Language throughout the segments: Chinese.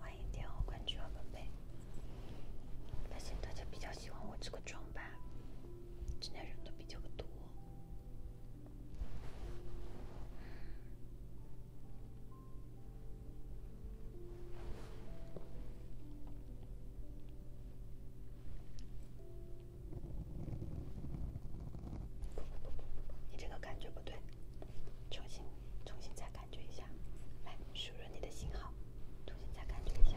欢迎点我关注和粉贝。发现大家比较喜欢我这个妆吧，今天人都比较多。不不不不不，你这个感觉不对，重新，重新再感觉一下，来输入你的信号，重新再感觉一下。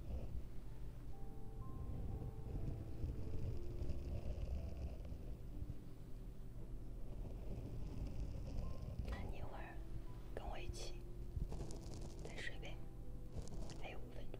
你一会儿跟我一起再睡呗，还有五分钟。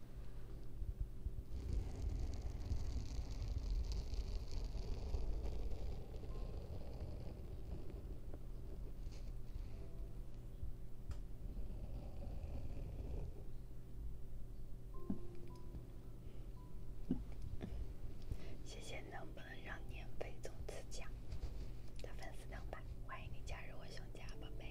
谢谢，能不能让年费总赐奖的粉丝两百？欢迎你加入我熊家，宝贝。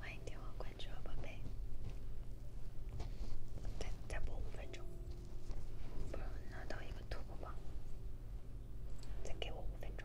欢迎点亮关注啊，宝贝！再再播五分钟，不然拿到一个突破榜，再给我五分钟。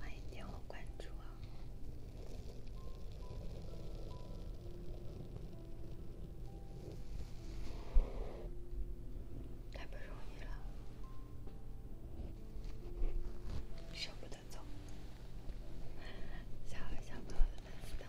欢迎点我关注啊！太不容易了，舍不得走，小可小哥哥们，死等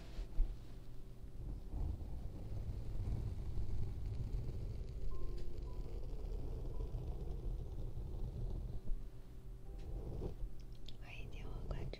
欢迎，点我关注。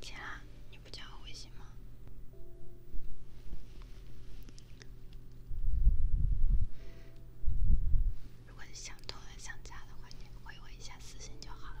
起来，你不加我微信吗？如果你想通了、想家的话，你回我一下私信就好了。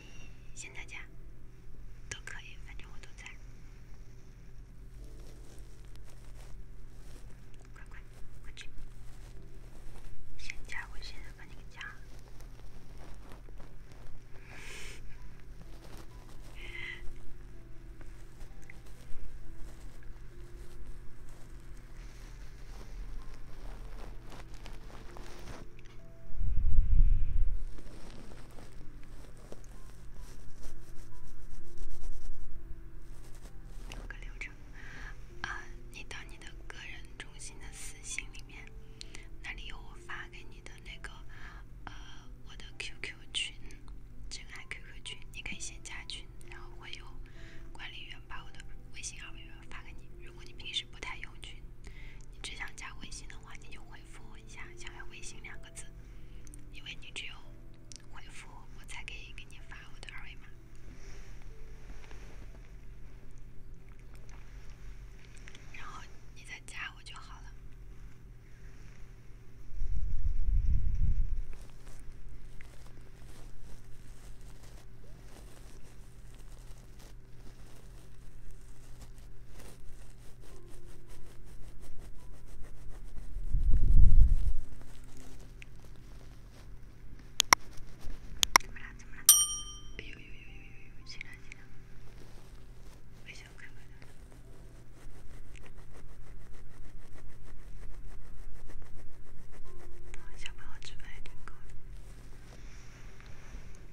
你现在加，都可以，反正我都在。快快，快去，现在我现在把你给加了。有个流程，啊，你到你的个人中心的私信里面，那里有我发给你的那个呃我的 QQ 群，真爱 QQ 群，你可以先加群，然后会有管理员把我的微信二维发给你。如果你平时。不太有趣。你只想加微信的话，你就回复我一下“想要微信”两个字，因为你只有回复我，才可以给你发我的二维码，然后你再加我就好了。怎么了？怎么了？哎呦呦呦呦呦！进来进来！不想开玩了。小朋友吃饭有点困。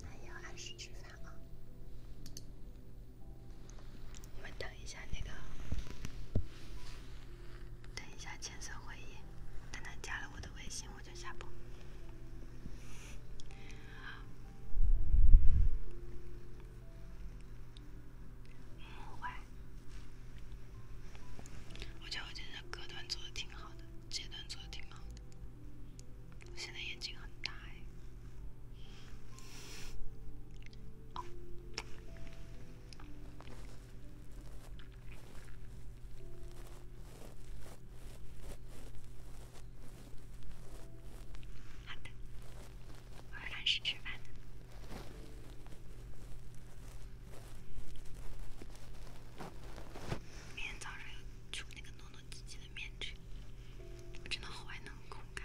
那要按时吃饭啊！我们等一下那个，等一下签收会议，等他加了我的微信，我就下播。我觉得我今天隔段做的挺好的，阶段做的挺好的。我现在眼睛很大哎。好的，我要开始吃饭明天早上要出那个诺诺。自己的面具，我真的好爱那种酷感。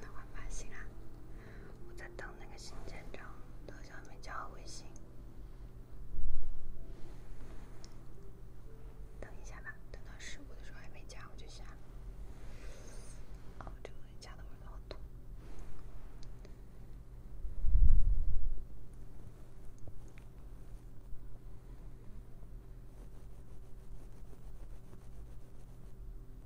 老板醒了，我在等那个新建章，他好像没加我微信。等一下吧，等到十五的时候还没加我就下。哦，这个加的我老多。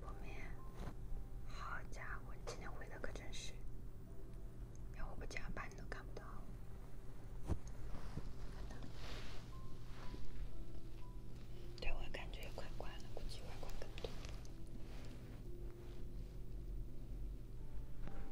破灭，好家伙，今天回的可真是，要我不加班都看不到。对，我感觉快挂了，估计会挂更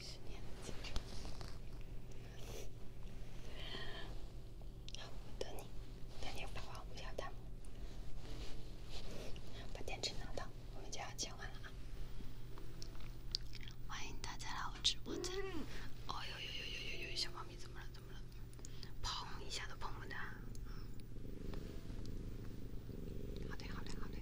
十年的青春。一下都碰不得。好的，好的，好的。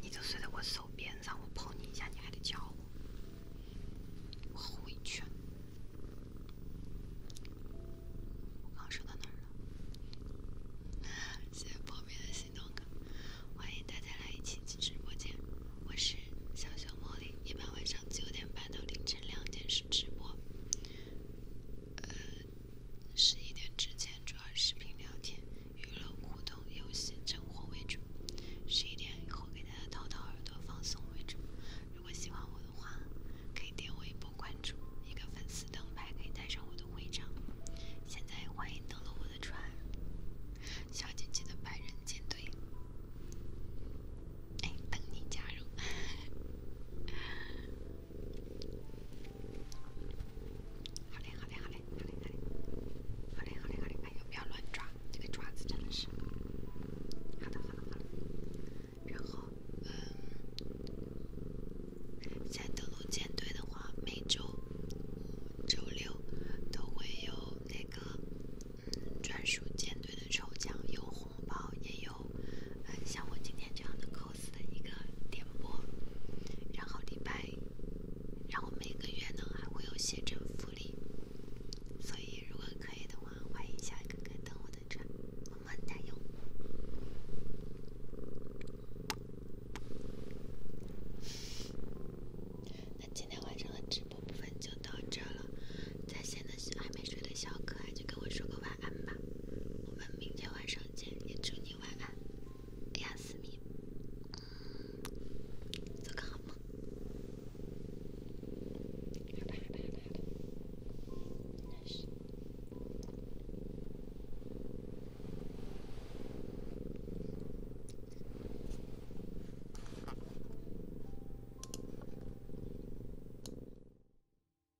你就睡在我手边，让我碰你一下，你还得叫我，我好委屈。我刚说到哪儿了？谢谢旁边的心动哥，欢迎大家来一起进直播间，我是小熊茉莉，一般晚上九点半到凌晨两点是直播。十一点之前主要视频聊天、娱乐互动、游戏、征活为主；十一点以后给大家掏掏耳朵、放松为主。如果喜欢我的话，可以点我一波关注，一个粉丝灯牌可以带上我的徽章。现在欢迎登陆我的船，小姐姐的百人舰队，哎，等你加入。好嘞，好嘞，好嘞，好嘞，好嘞，好嘞，好嘞，哎呦，不要乱抓，这个爪子真的是。好的，好的，好的。然后，嗯，在登录舰队的话，每周，嗯，周六都会有那个，嗯，专属舰队的抽奖，有红包也有。呃，像我今天这样的 cos 的一个点播，然后礼拜，然后每个月呢还会有写真福利，所以如果可以的话，欢迎小哥哥登我的我们么哒！那今天晚上的直播部分就到这了，在线的还没睡的小可爱就跟我说个晚安吧，我们明天晚上。也祝你晚安，哎呀，思明，做个好梦，好好好